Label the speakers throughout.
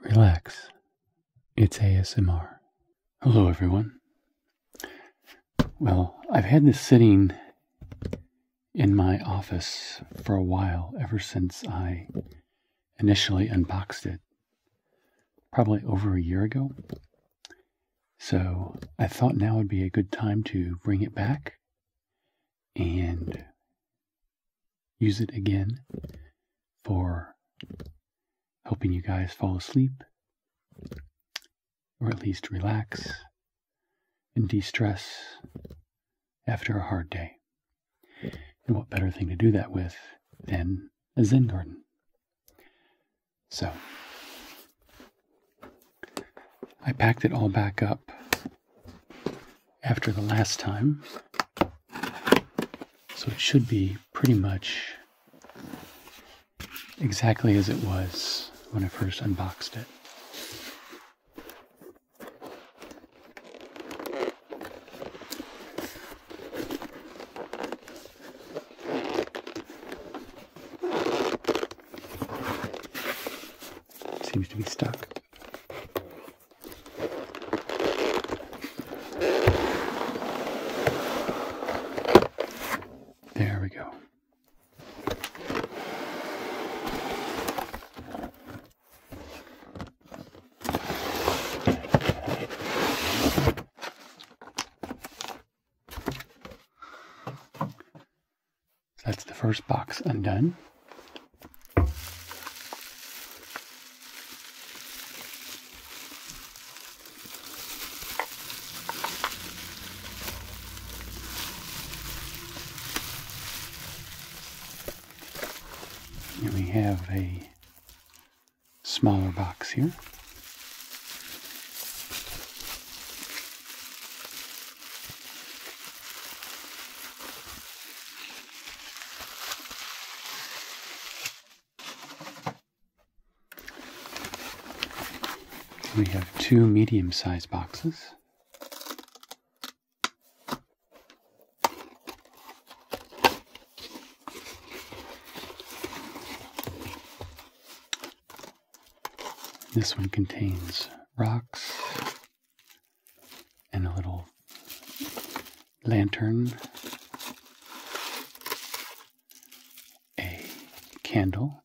Speaker 1: Relax. It's ASMR. Hello, everyone. Well, I've had this sitting in my office for a while, ever since I initially unboxed it, probably over a year ago. So I thought now would be a good time to bring it back and use it again for helping you guys fall asleep or at least relax and de stress after a hard day. And what better thing to do that with than a Zen garden? So I packed it all back up after the last time so it should be pretty much exactly as it was when I first unboxed it. Seems to be stuck. There we go. that's the first box undone. And we have a smaller box here. We have two medium sized boxes. This one contains rocks, and a little lantern, a candle.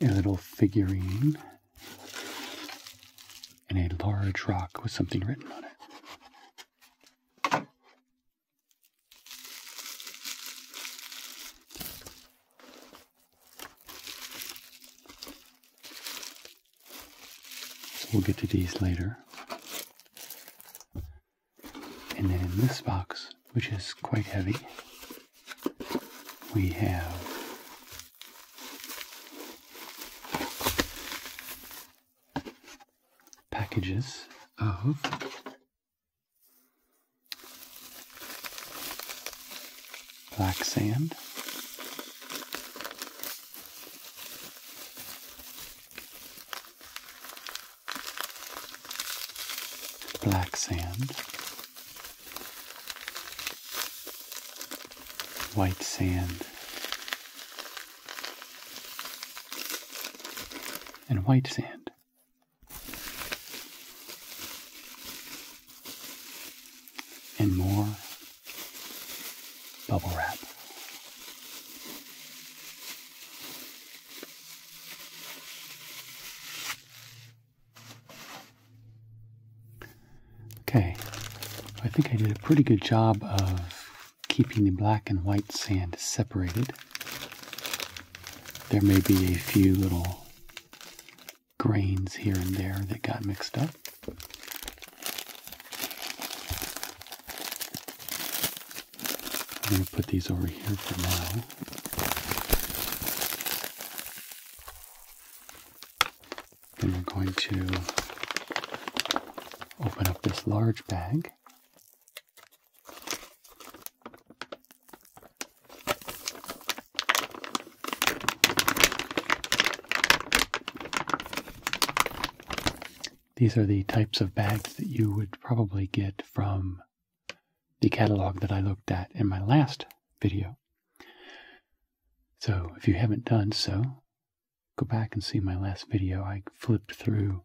Speaker 1: A little figurine and a large rock with something written on it. We'll get to these later. And then in this box, which is quite heavy, we have packages of black sand. Black sand, white sand, and white sand and more bubble wrap. Okay, I think I did a pretty good job of keeping the black and white sand separated. There may be a few little grains here and there that got mixed up. I'm going to put these over here for now. Then we're going to open up this large bag. These are the types of bags that you would probably get from the catalog that I looked at in my last video. So if you haven't done so, go back and see my last video. I flipped through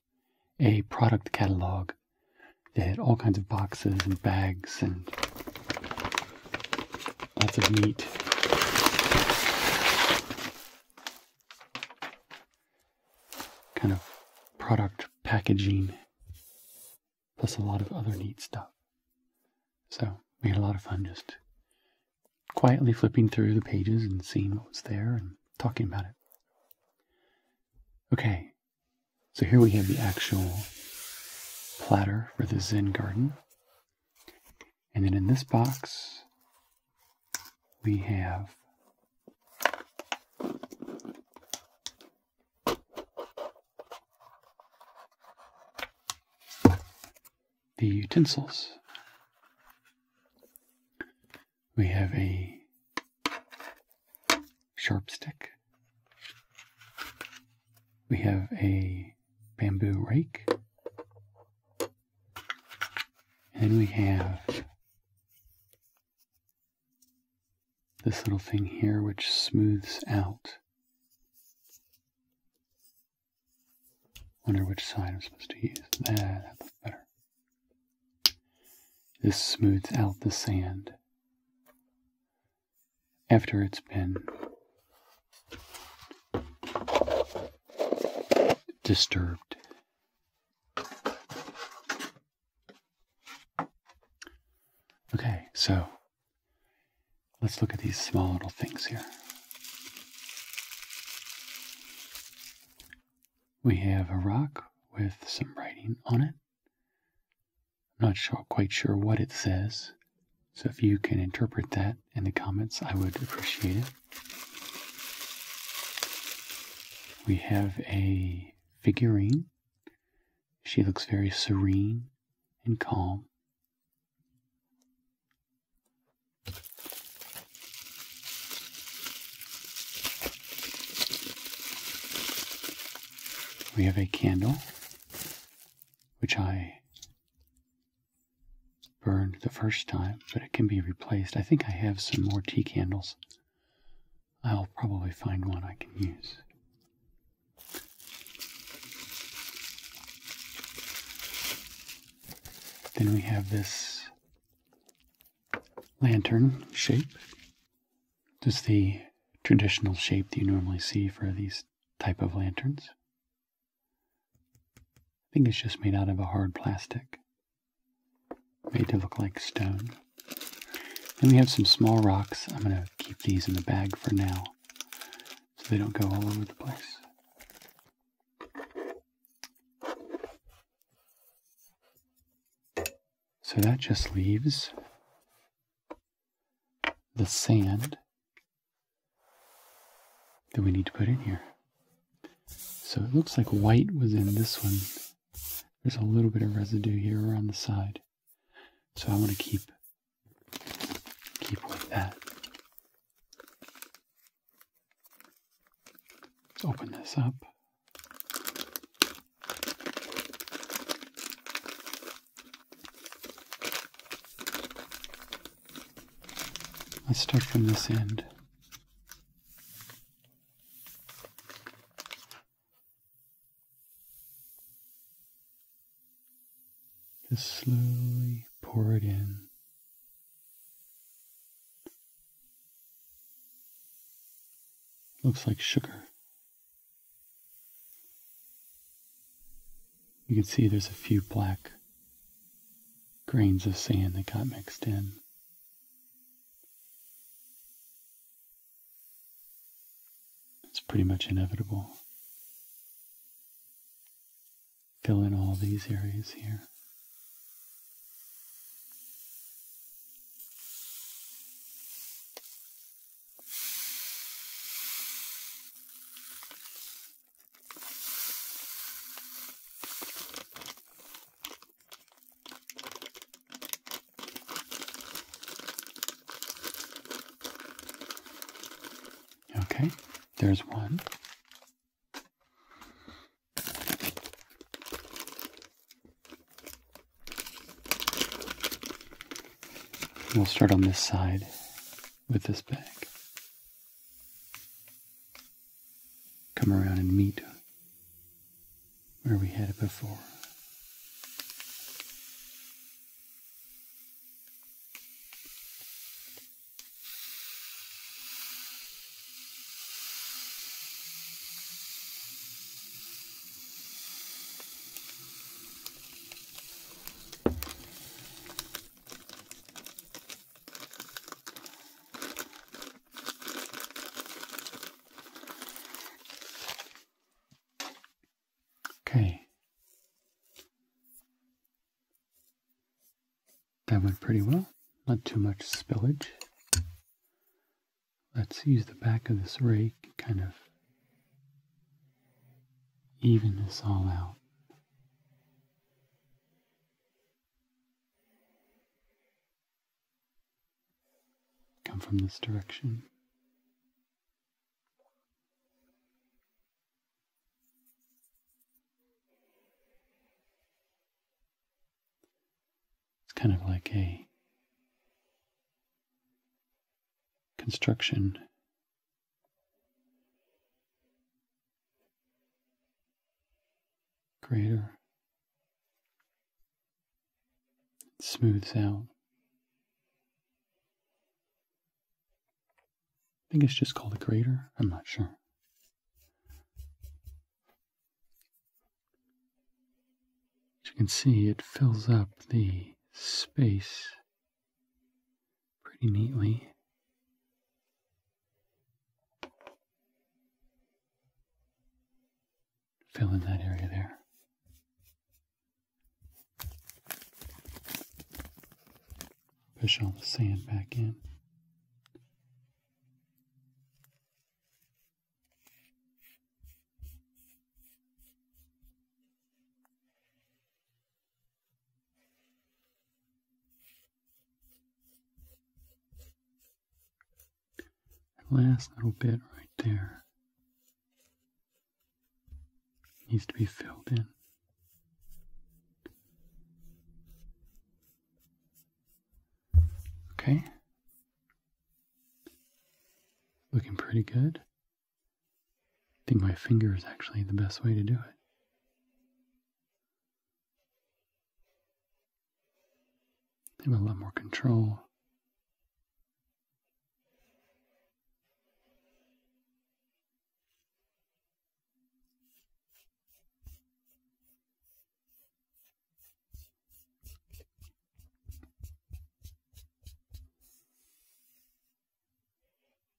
Speaker 1: a product catalog that had all kinds of boxes and bags and Lots of neat Kind of product packaging, plus a lot of other neat stuff. So we had a lot of fun just quietly flipping through the pages and seeing what was there and talking about it. Okay, so here we have the actual platter for the Zen garden. And then in this box, we have the utensils. We have a sharp stick. We have a bamboo rake. And we have this little thing here which smooths out. Wonder which side I'm supposed to use. That, that looks better. This smooths out the sand after it's been disturbed. Okay, so let's look at these small little things here. We have a rock with some writing on it. I'm not sure, quite sure what it says, so if you can interpret that in the comments, I would appreciate it. We have a figurine. She looks very serene and calm. We have a candle which I burned the first time, but it can be replaced. I think I have some more tea candles. I'll probably find one I can use. Then we have this lantern shape. Just the traditional shape that you normally see for these type of lanterns. I think it's just made out of a hard plastic, made to look like stone. Then we have some small rocks. I'm going to keep these in the bag for now so they don't go all over the place. So that just leaves the sand that we need to put in here. So it looks like white was in this one. There's a little bit of residue here around the side. So I want to keep keep with that. Let's open this up. Let's start from this end. Just slowly pour it in. Looks like sugar. You can see there's a few black grains of sand that got mixed in. It's pretty much inevitable. Fill in all these areas here. Okay, there's one. We'll start on this side with this bag. Come around and meet where we had it before. Okay. That went pretty well. Not too much spillage. Let's use the back of this rake, kind of even this all out. Come from this direction. It's kind of like a construction Grater. It smooths out. I think it's just called a grater. I'm not sure. As you can see, it fills up the space pretty neatly. Fill in that area there. Push all the sand back in last little bit right there needs to be filled in. Okay. Looking pretty good. I think my finger is actually the best way to do it. Give have a lot more control.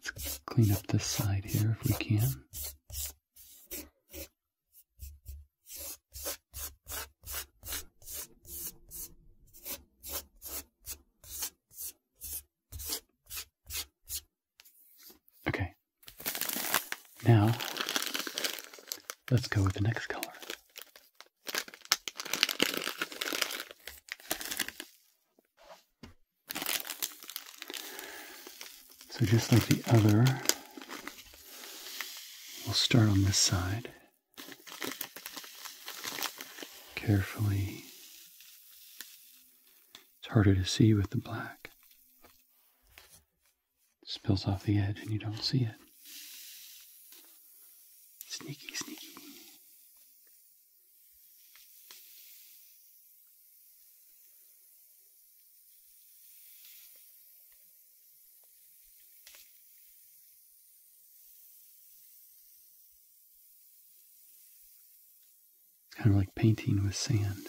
Speaker 1: Let's clean up this side here if we can. Okay. Now, let's go with the next color. So just like the other, we'll start on this side. Carefully. It's harder to see with the black. spills off the edge and you don't see it. Sneaky, sneaky. Kind of like painting with sand.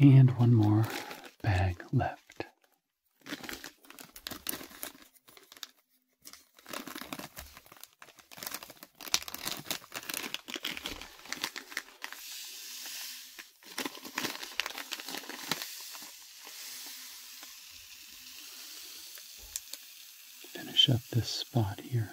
Speaker 1: and one more bag left. Finish up this spot here.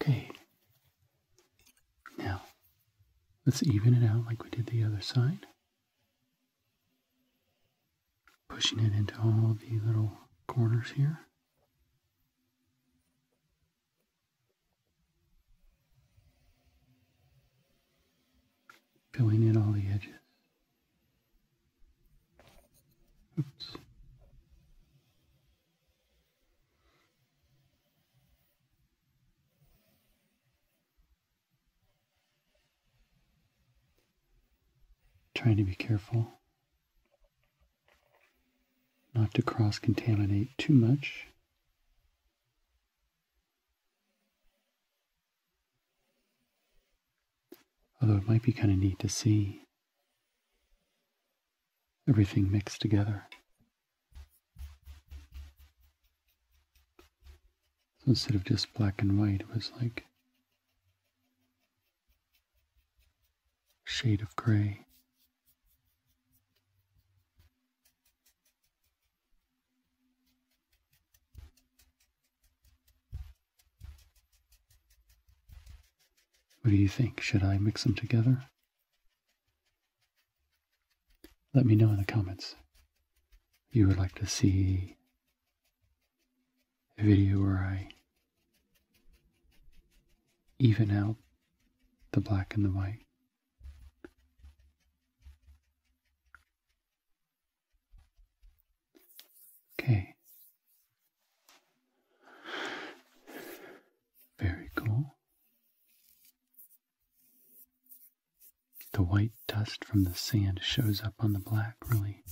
Speaker 1: Okay. Now, let's even it out like we did the other side. Pushing it into all the little corners here. Filling in all the edges. Trying to be careful not to cross contaminate too much. Although it might be kind of neat to see everything mixed together. So instead of just black and white, it was like shade of gray. What do you think? Should I mix them together? Let me know in the comments if you would like to see a video where I even out the black and the white. Okay, very cool. The white dust from the sand shows up on the black really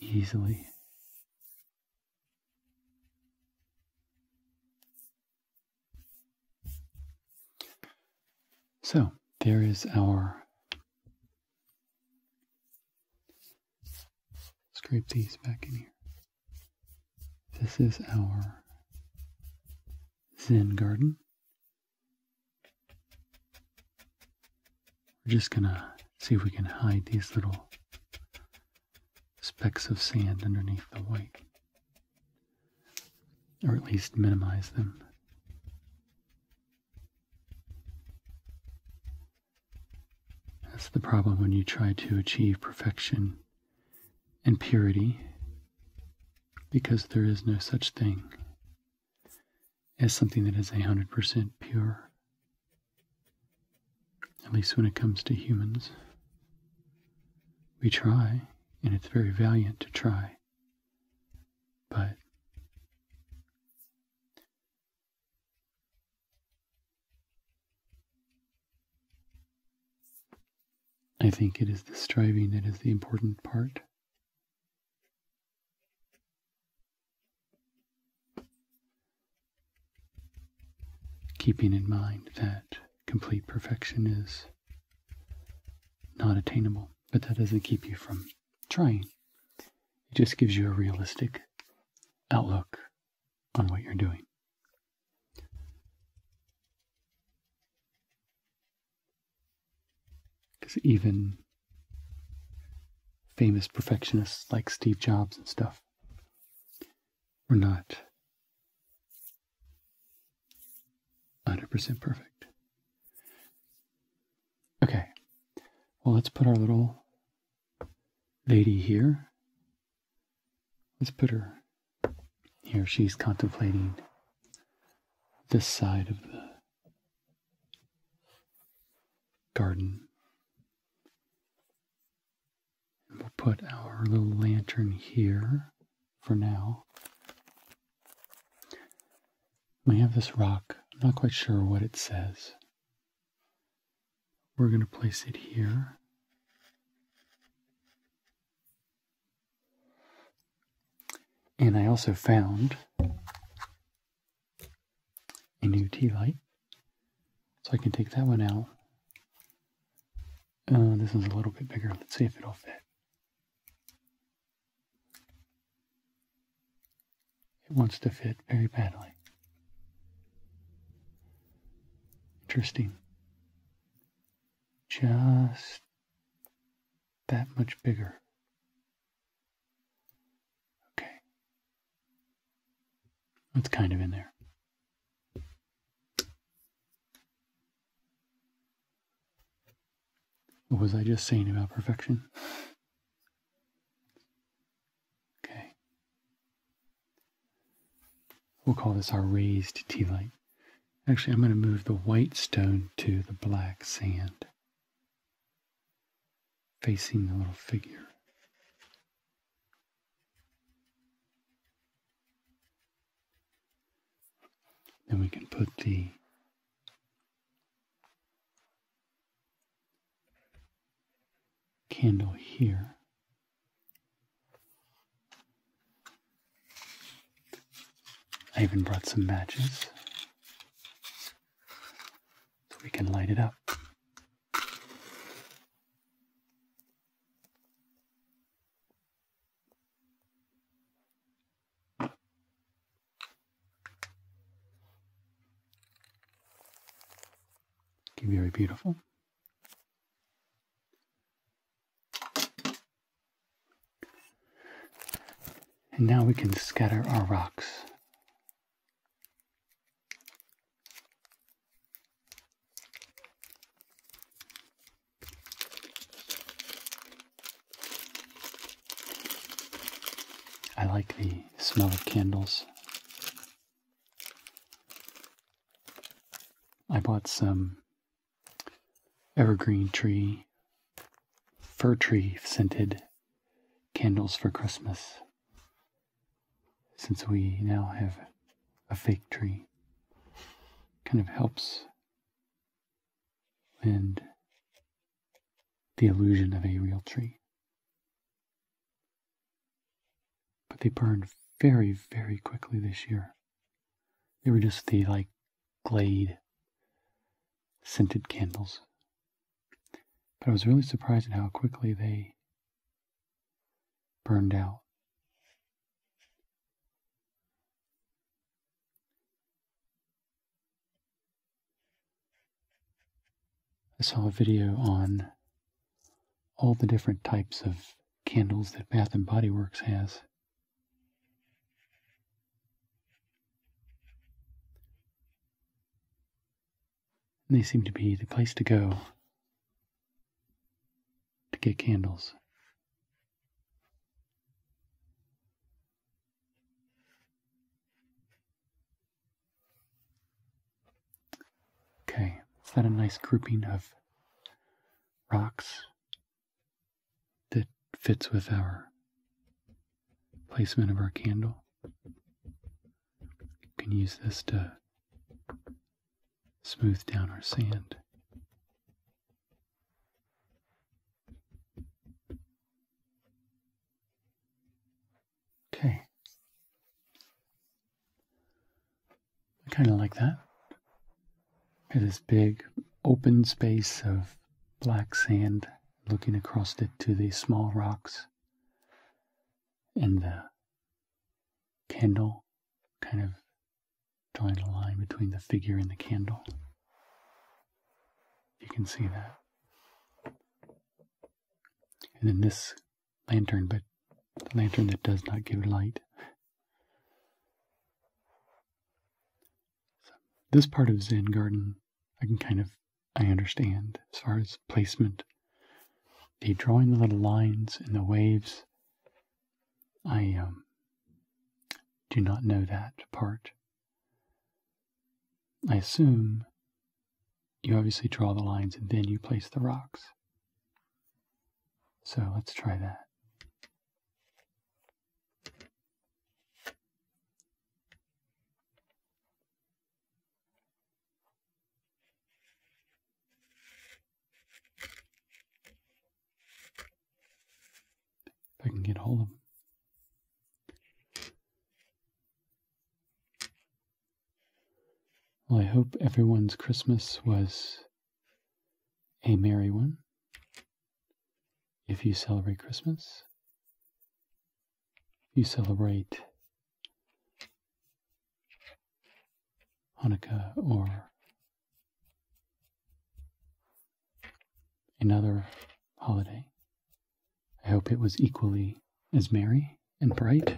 Speaker 1: easily. So there is our scrape these back in here. This is our Zen garden. We're just gonna see if we can hide these little specks of sand underneath the white, or at least minimize them. That's the problem when you try to achieve perfection and purity, because there is no such thing as something that is 100% pure, at least when it comes to humans. We try, and it's very valiant to try, but I think it is the striving that is the important part. Keeping in mind that complete perfection is not attainable, but that doesn't keep you from trying. It just gives you a realistic outlook on what you're doing. Because even famous perfectionists like Steve Jobs and stuff were not 100% perfect. Okay, well, let's put our little lady here. Let's put her here. She's contemplating this side of the garden. we'll put our little lantern here for now. We have this rock. I'm not quite sure what it says. We're going to place it here. And I also found a new tea light. So I can take that one out. Uh, this is a little bit bigger. Let's see if it'll fit. It wants to fit very badly. Interesting. Just that much bigger. Okay. That's kind of in there. What was I just saying about perfection? Okay. We'll call this our raised tea light. Actually, I'm going to move the white stone to the black sand, facing the little figure. Then we can put the candle here. I even brought some matches so we can light it up. It can be very beautiful. And now we can scatter our rocks. I like the smell of candles I bought some evergreen tree, fir tree scented candles for Christmas since we now have a fake tree. Kind of helps and the illusion of a real tree. But they burned very, very quickly this year. They were just the like glade scented candles. But I was really surprised at how quickly they burned out. I saw a video on all the different types of candles that Bath and Body Works has. they seem to be the place to go to get candles. Okay, is that a nice grouping of rocks that fits with our placement of our candle? You can use this to smooth down our sand. Okay. I kind of like that. This big open space of black sand looking across it to the small rocks and the candle kind of drawing a line between the figure and the candle. You can see that. And then this lantern, but the lantern that does not give light. this part of Zen Garden, I can kind of I understand as far as placement. The drawing the little lines and the waves, I um, do not know that part. I assume you obviously draw the lines and then you place the rocks. So let's try that. If I can get hold of them. Well, I hope everyone's Christmas was a merry one. If you celebrate Christmas, you celebrate Hanukkah or another holiday. I hope it was equally as merry and bright.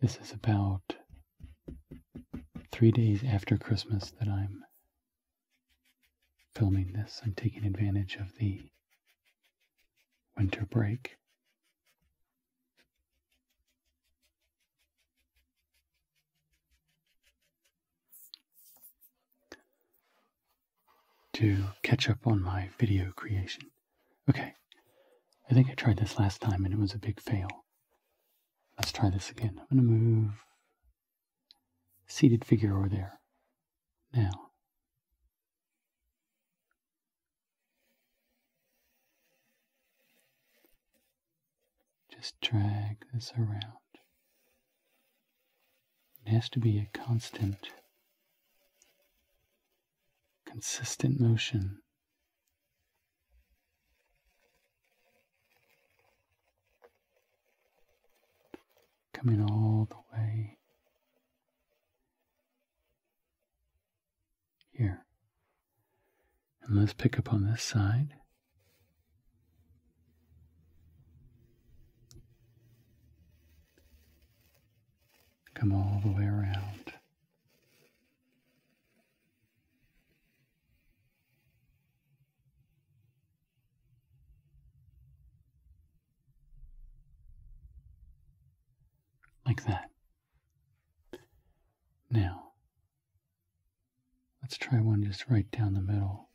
Speaker 1: This is about three days after Christmas that I'm filming this. I'm taking advantage of the winter break to catch up on my video creation. Okay, I think I tried this last time and it was a big fail. Let's try this again. I'm going to move seated figure over there. Now, just drag this around. It has to be a constant, consistent motion. Coming all the way here. And let's pick up on this side. Come all the way around. Like that. Now, let's try one just right down the middle.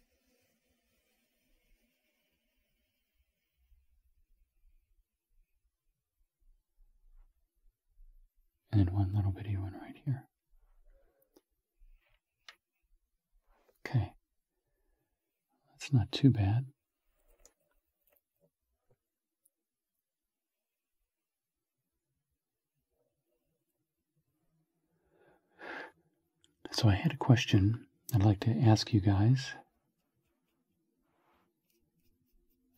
Speaker 1: And one little bitty one right here. Okay. That's not too bad. So I had a question I'd like to ask you guys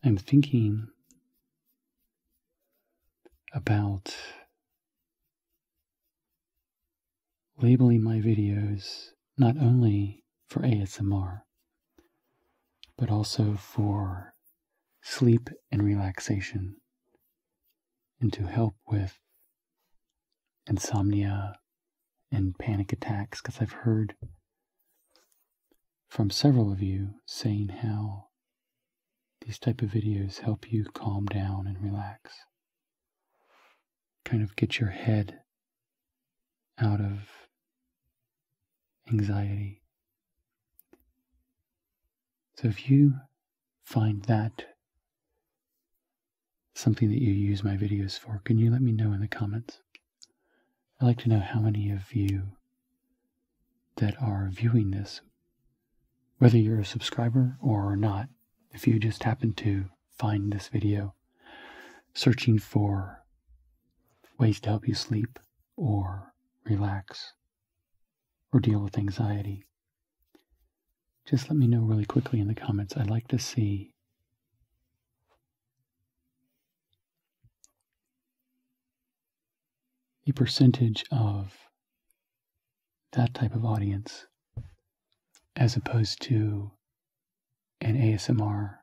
Speaker 1: I'm thinking about labeling my videos not only for ASMR, but also for sleep and relaxation, and to help with insomnia and panic attacks because I've heard from several of you saying how these type of videos help you calm down and relax kind of get your head out of anxiety so if you find that something that you use my videos for, can you let me know in the comments? I'd like to know how many of you that are viewing this, whether you're a subscriber or not, if you just happen to find this video searching for ways to help you sleep or relax or deal with anxiety, just let me know really quickly in the comments. I'd like to see a percentage of that type of audience as opposed to an ASMR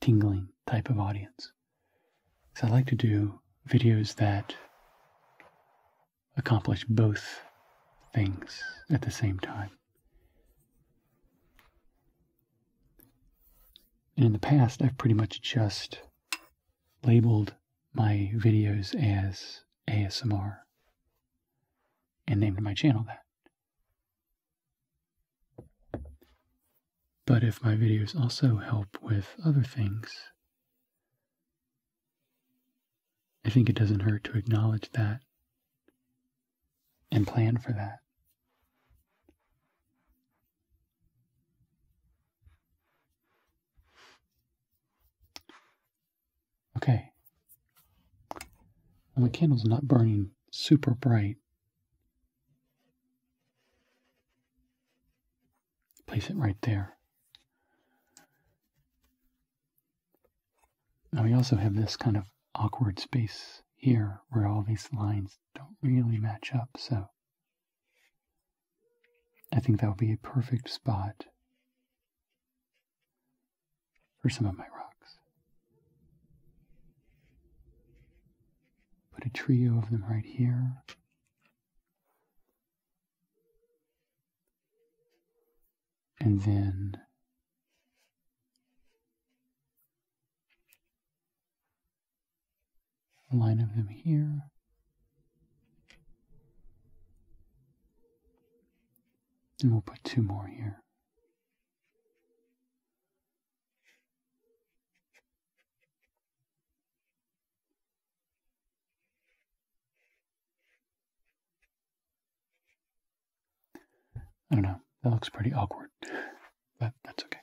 Speaker 1: tingling type of audience. So I like to do videos that accomplish both things at the same time. And in the past, I've pretty much just labeled my videos as ASMR and named my channel that. But if my videos also help with other things, I think it doesn't hurt to acknowledge that and plan for that. Okay. Well, the candle's not burning super bright. Place it right there. Now we also have this kind of awkward space here where all these lines don't really match up, so I think that would be a perfect spot for some of my rocks. Put a trio of them right here and then line of them here. And we'll put two more here. I don't know. That looks pretty awkward, but that's okay.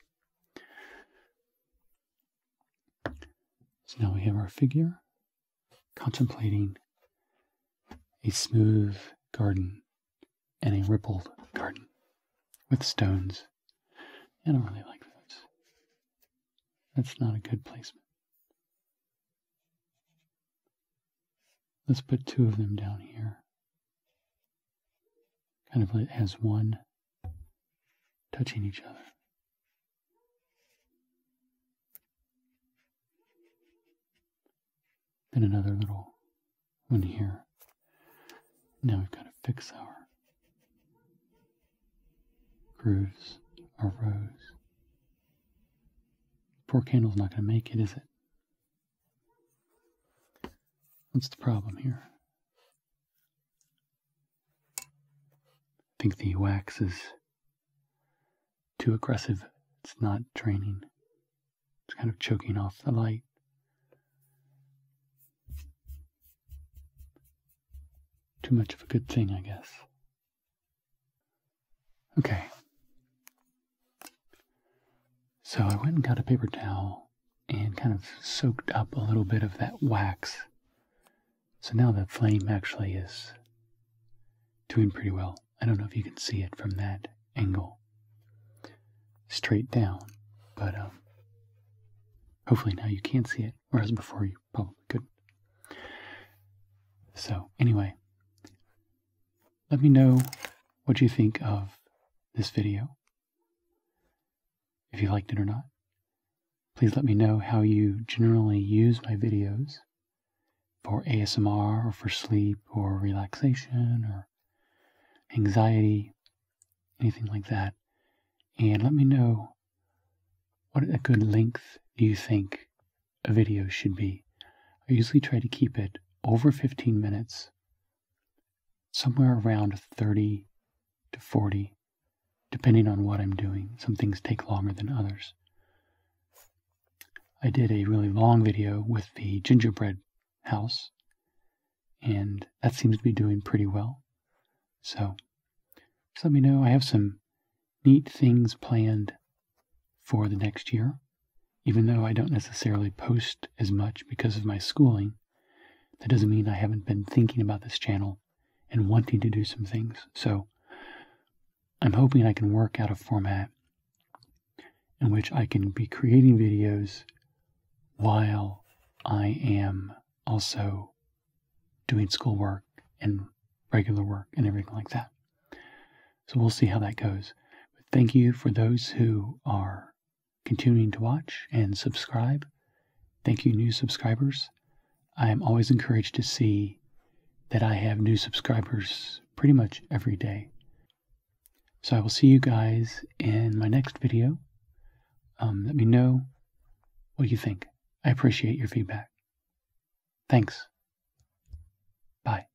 Speaker 1: So now we have our figure contemplating a smooth garden and a rippled garden with stones. I don't really like those. That's not a good placement. Let's put two of them down here kind of like as one, touching each other. Then another little one here. Now we've got to fix our grooves, our rose. Four candles not going to make it, is it? What's the problem here? I think the wax is too aggressive. It's not draining. It's kind of choking off the light. Too much of a good thing, I guess. Okay. So I went and got a paper towel and kind of soaked up a little bit of that wax. So now the flame actually is doing pretty well. I don't know if you can see it from that angle straight down, but um, hopefully now you can see it, whereas before you probably couldn't. So, anyway, let me know what you think of this video. If you liked it or not. Please let me know how you generally use my videos for ASMR or for sleep or relaxation or anxiety, anything like that. And let me know what a good length do you think a video should be. I usually try to keep it over 15 minutes somewhere around 30 to 40, depending on what I'm doing. Some things take longer than others. I did a really long video with the gingerbread house, and that seems to be doing pretty well. So, just let me know. I have some neat things planned for the next year. Even though I don't necessarily post as much because of my schooling, that doesn't mean I haven't been thinking about this channel and wanting to do some things. So I'm hoping I can work out a format in which I can be creating videos while I am also doing schoolwork and regular work and everything like that. So we'll see how that goes. But thank you for those who are continuing to watch and subscribe. Thank you, new subscribers. I am always encouraged to see that I have new subscribers pretty much every day. So I will see you guys in my next video. Um, let me know what you think. I appreciate your feedback. Thanks. Bye.